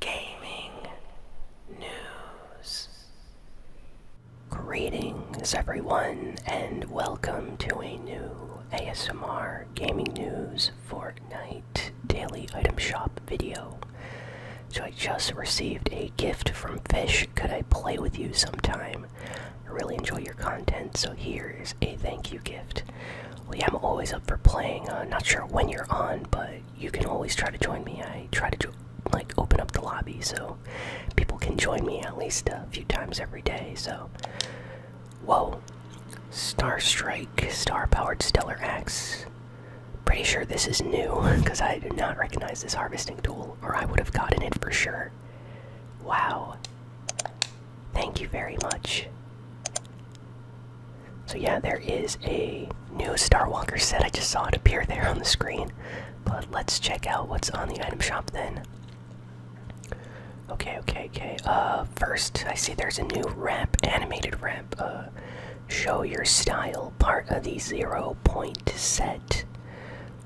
gaming news. Greetings, everyone, and welcome to a new ASMR Gaming News Fortnite Daily Item Shop video. So, I just received a gift from Fish. Could I play with you sometime? I really enjoy your content, so here is a thank you gift. Well, yeah, I'm always up for playing. Uh, not sure when you're on, but you can always try to join me. I try to like open up the lobby so people can join me at least a few times every day. So, whoa, Star Strike, Star Powered Stellar Axe. Pretty sure this is new because I do not recognize this harvesting tool, or I would have gotten it for sure. Wow. Thank you very much. So yeah, there is a new Starwalker set. I just saw it appear there on the screen. But let's check out what's on the item shop then. Okay, okay, okay. Uh, first, I see there's a new wrap, animated wrap. Uh, show your style, part of the zero point set.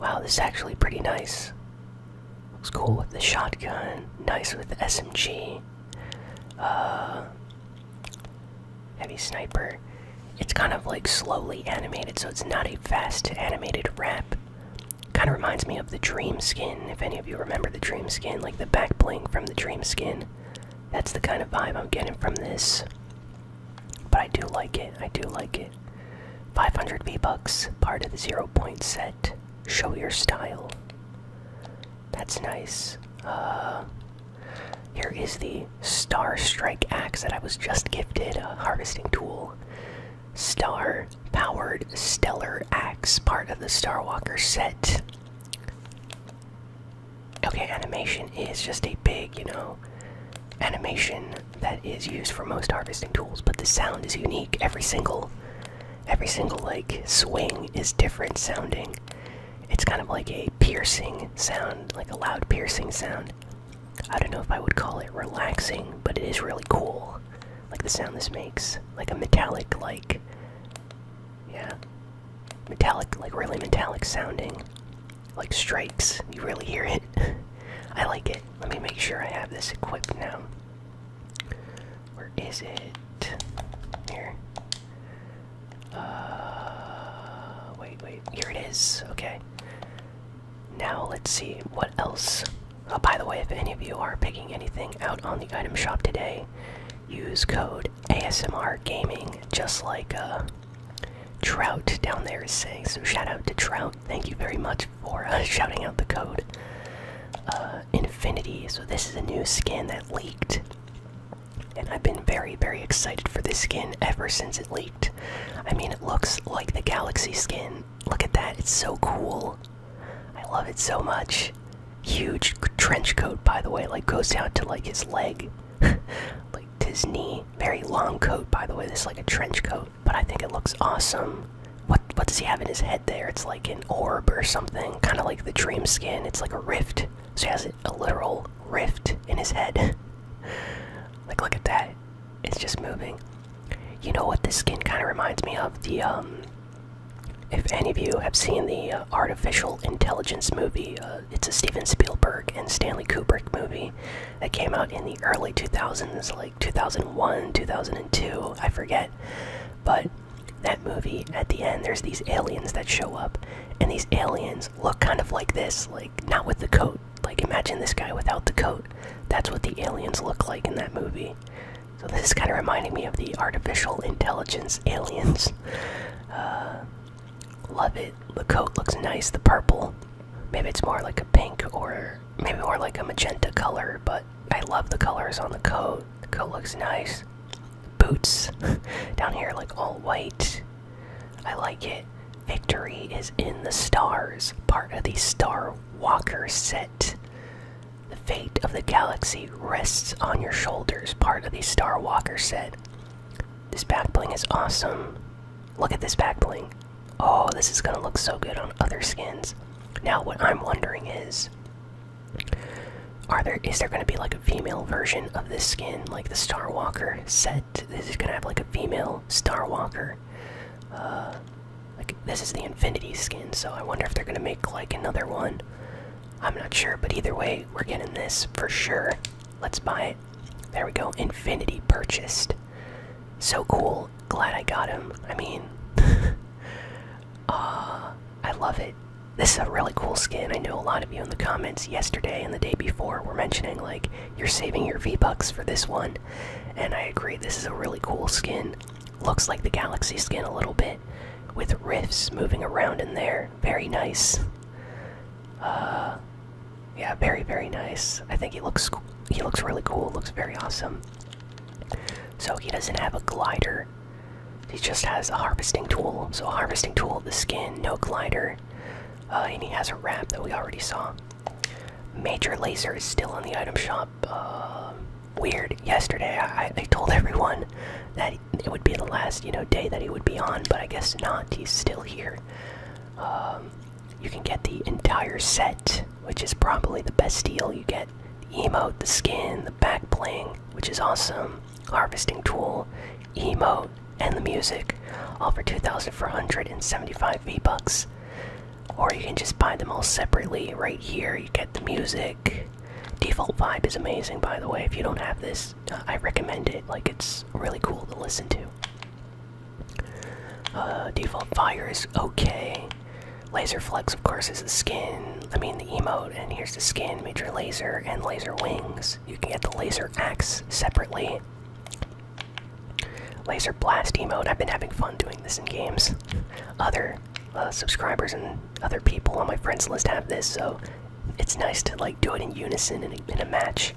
Wow, this is actually pretty nice. Looks cool with the shotgun. Nice with the SMG. Uh, Heavy Sniper. It's kind of like slowly animated, so it's not a fast animated rep. Kind of reminds me of the Dream Skin, if any of you remember the Dream Skin, like the back bling from the Dream Skin. That's the kind of vibe I'm getting from this. But I do like it, I do like it. 500 V-Bucks, part of the zero point set. Show your style. That's nice. Uh, here is the Star Strike Axe that I was just gifted, a harvesting tool. Star powered stellar axe, part of the Star Walker set. Okay, animation is just a big, you know, animation that is used for most harvesting tools, but the sound is unique. Every single every single like swing is different sounding. It's kind of like a piercing sound, like a loud piercing sound. I don't know if I would call it relaxing, but it is really cool. Like the sound this makes, like a metallic, like, yeah, metallic, like really metallic sounding, like strikes. You really hear it. I like it. Let me make sure I have this equipped now. Where is it? Here. Uh, wait, wait. Here it is. Okay. Now let's see what else. Oh, by the way, if any of you are picking anything out on the item shop today, use code ASMR Gaming, just like uh, Trout down there is saying. So shout out to Trout. Thank you very much for uh, shouting out the code. Uh, Infinity. So this is a new skin that leaked, and I've been very, very excited for this skin ever since it leaked. I mean, it looks like the Galaxy skin. Look at that; it's so cool. I love it so much. Huge trench coat, by the way, like goes down to like his leg, like to his knee. Very long coat, by the way. This is like a trench coat, but I think it looks awesome what what does he have in his head there? It's like an orb or something, kind of like the dream skin. It's like a rift. So he has a literal rift in his head. like look at that. It's just moving. You know what this skin kind of reminds me of? The um if any of you have seen the uh, artificial intelligence movie, uh, it's a Steven Spielberg and Stanley Kubrick movie that came out in the early 2000s, like 2001, 2002, I forget. But that movie at the end there's these aliens that show up and these aliens look kind of like this like not with the coat like imagine this guy without the coat that's what the aliens look like in that movie so this is kind of reminding me of the artificial intelligence aliens uh, love it the coat looks nice the purple maybe it's more like a pink or maybe more like a magenta color but I love the colors on the coat. The coat looks nice. Boots down here, like all white. I like it. Victory is in the stars, part of the Star Walker set. The fate of the galaxy rests on your shoulders, part of the Star Walker set. This back bling is awesome. Look at this back bling. Oh, this is gonna look so good on other skins. Now, what I'm wondering is, are there is there going to be like a female version of this skin, like the Star Walker set? This is going to have like a female Star Walker. Uh, like this is the Infinity skin, so I wonder if they're going to make like another one. I'm not sure, but either way, we're getting this for sure. Let's buy it. There we go. Infinity purchased. So cool glad I got him. I mean, uh, I love it. This is a really cool skin. I know a lot of you in the comments yesterday and the day before were mentioning, like, you're saving your V-Bucks for this one. And I agree, this is a really cool skin. Looks like the Galaxy skin a little bit, with rifts moving around in there. Very nice. Uh, yeah, very, very nice. I think he looks, he looks really cool. Looks very awesome. So he doesn't have a glider. He just has a harvesting tool. So harvesting tool, the skin, no glider. Uh, and he has a ramp that we already saw. Major Laser is still on the item shop. Uh, weird. Yesterday, I, told everyone that it would be the last, you know, day that he would be on, but I guess not. He's still here. Um, you can get the entire set, which is probably the best deal. You get the emote, the skin, the back bling, which is awesome, harvesting tool, emote, and the music, all for 2,475 V-Bucks. Or you can just buy them all separately right here. You get the music. Default vibe is amazing, by the way. If you don't have this, uh, I recommend it. Like, it's really cool to listen to. Uh, default fire is okay. Laser flex, of course, is the skin. I mean, the emote, and here's the skin. Major laser and laser wings. You can get the laser axe separately. Laser blast emote. I've been having fun doing this in games. Other uh, subscribers and other people on my friends list have this, so it's nice to like do it in unison in a match.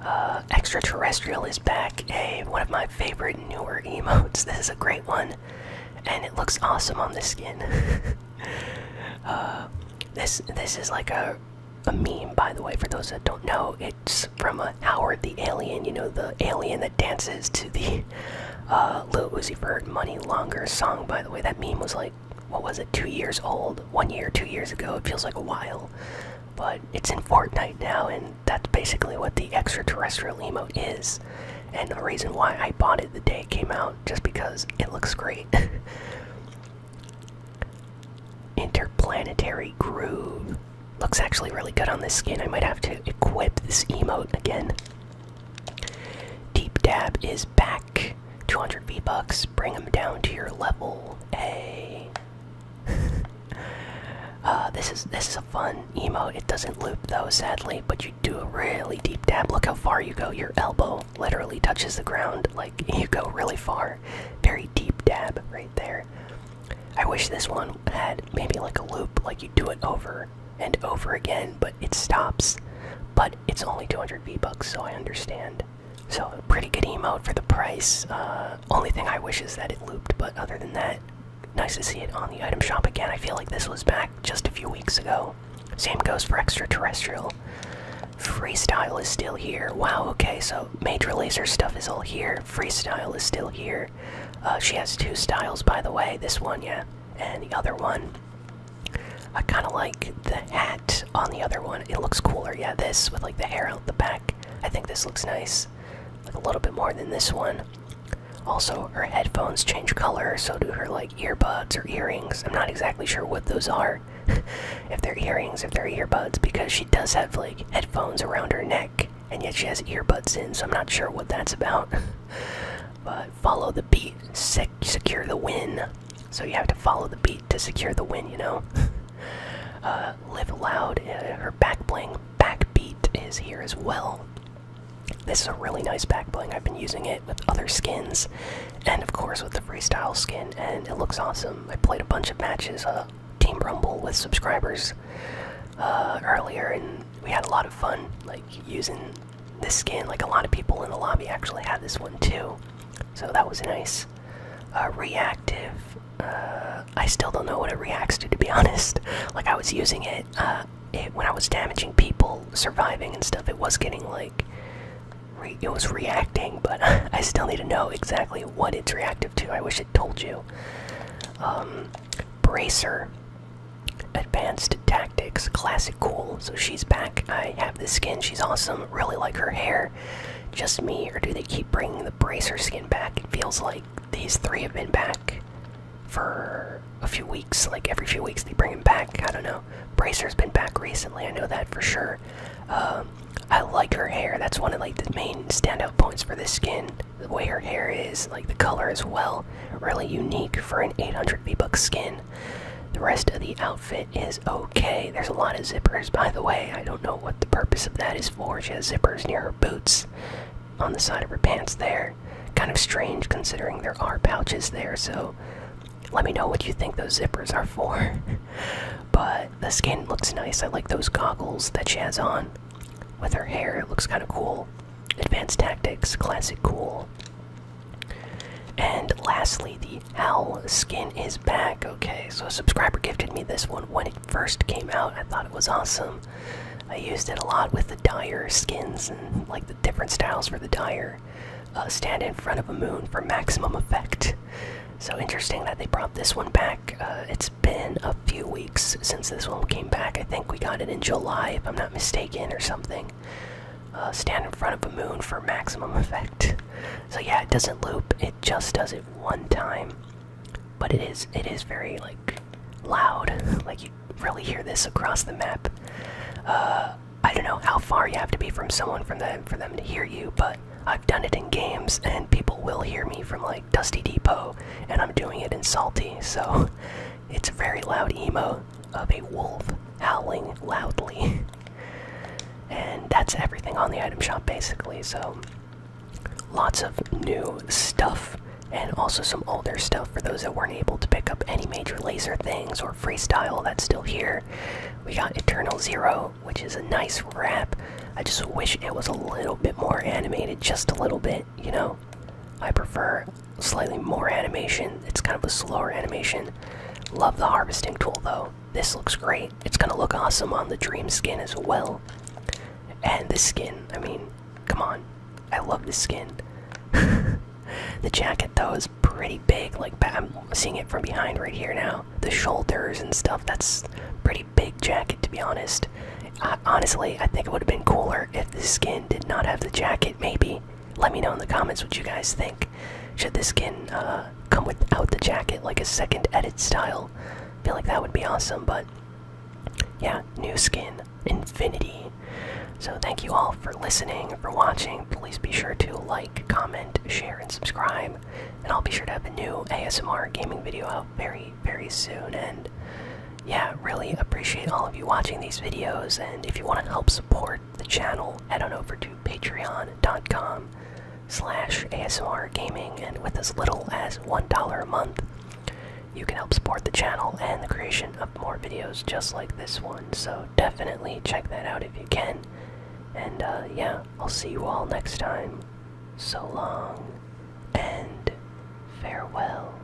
Uh, extraterrestrial is back. A one of my favorite newer emotes. This is a great one, and it looks awesome on the skin. Uh, this this is like a a meme, by the way, for those that don't know. It's from a uh, Howard the Alien. You know the alien that dances to the Little Lil Uzi Vert "Money Longer" song. By the way, that meme was like what was it? Two years old, one year, two years ago. It feels like a while, but it's in Fortnite now, and that's basically what the extraterrestrial emote is. And the reason why I bought it the day it came out, just because it looks great. Interplanetary Groove. Looks actually really good on this skin. I might have to equip this emote again. Deep Dab is back. 200 V-Bucks. Bring him down to your level. A. Uh, this is this is a fun emo. It doesn't loop though, sadly, but you do a really deep dab. Look how far you go. Your elbow literally touches the ground. Like you go really far. Very deep dab right there. I wish this one had maybe like a loop, like you do it over and over again, but it stops. But it's only 200 V bucks, so I understand. So, pretty good emote for the price. Uh, only thing I wish is that it looped, but other than that, nice to see it on the item shop again. I feel like this was back just a few weeks ago. Same goes for extraterrestrial. Freestyle is still here. Wow, okay, so Major Laser stuff is all here. Freestyle is still here. Uh, she has two styles, by the way. This one, yeah, and the other one. I kind of like the hat on the other one. It looks cooler. Yeah, this with like the hair out the back. I think this looks nice. Like a little bit more than this one. Also, her headphones change color, so do her like earbuds or earrings. I'm not exactly sure what those are. if they're earrings, if they're earbuds, because she does have like headphones around her neck, and yet she has earbuds in, so I'm not sure what that's about. but follow the beat, secure the win. So you have to follow the beat to secure the win, you know? Uh, live Loud, uh, her back bling, back beat is here as well. This is a really nice back bling. I've been using it with other skins, and of course with the freestyle skin, and it looks awesome. I played a bunch of matches, a uh, Team Rumble with subscribers earlier, and we had a lot of fun like using this skin. Like a lot of people in the lobby actually had this one too, so that was nice. Uh, reactive. Uh, I still don't know what it reacts to, to be honest. Like I was using uh, it, when I was damaging people, surviving and stuff. It was getting like it was reacting, but I still need to know exactly what it's reactive to. I wish it told you. Um, Bracer, advanced tactics, classic cool. So she's back. I have the skin. She's awesome. Really like her hair just me, or do they keep bringing the bracer skin back? It feels like these three have been back for a few weeks. Like every few weeks, they bring him back. I don't know. Bracer's been back recently. I know that for sure. Um, I like her hair. That's one of like the main standout points for this skin. The way her hair is, like the color as well, really unique for an 800 V-Bucks skin. The rest of the outfit is okay. There's a lot of zippers, by the way. I don't know what the purpose of that is for. She has zippers near her boots on the side of her pants there. Kind of strange considering there are pouches there, so let me know what you think those zippers are for. but the skin looks nice. I like those goggles that she has on with her hair. It looks kind of cool. Advanced tactics, classic cool. And lastly, the owl skin is back. Okay, so a subscriber gifted me this one when it first came out. I thought it was awesome. I used it a lot with the Dyer skins and like the different styles for the Dyer. Uh, stand in front of a moon for maximum effect. So interesting that they brought this one back. Uh, it's been a few weeks since this one came back. I think we got it in July, if I'm not mistaken, or something. Uh, stand in front of a moon for maximum effect. So yeah, it doesn't loop. It just does it one time, but it is it is very like loud. Like you really hear this across the map. Uh, I don't know how far you have to be from someone from them for them to hear you, but I've done it in games and people will hear me from like Dusty Depot, and I'm doing it in Salty. So it's a very loud emo of a wolf howling loudly. And that's everything on the item shop basically. So lots of new stuff and also some older stuff for those that weren't able to pick up any major laser things or freestyle that's still here. We got Eternal Zero, which is a nice wrap. I just wish it was a little bit more animated, just a little bit, you know. I prefer slightly more animation. It's kind of a slower animation. Love the harvesting tool though. This looks great. It's gonna look awesome on the dream skin as well. And this skin, I mean, come on. I love the skin. the jacket though is pretty big. Like I'm seeing it from behind right here now. The shoulders and stuff. That's pretty big jacket to be honest. Uh, honestly, I think it would have been cooler if the skin did not have the jacket. Maybe let me know in the comments what you guys think should this skin uh, come without the jacket like a second edit style I feel like that would be awesome but yeah new skin infinity so thank you all for listening for watching please be sure to like comment share and subscribe and i'll be sure to have a new asmr gaming video out very very soon and yeah really appreciate all of you watching these videos and if you want to help support the channel, head on over to patreon.com slash ASMR gaming and with as little as $1 a month, you can help support the channel and the creation of more videos just like this one. So definitely check that out if you can. And uh, yeah, I'll see you all next time. So long and farewell.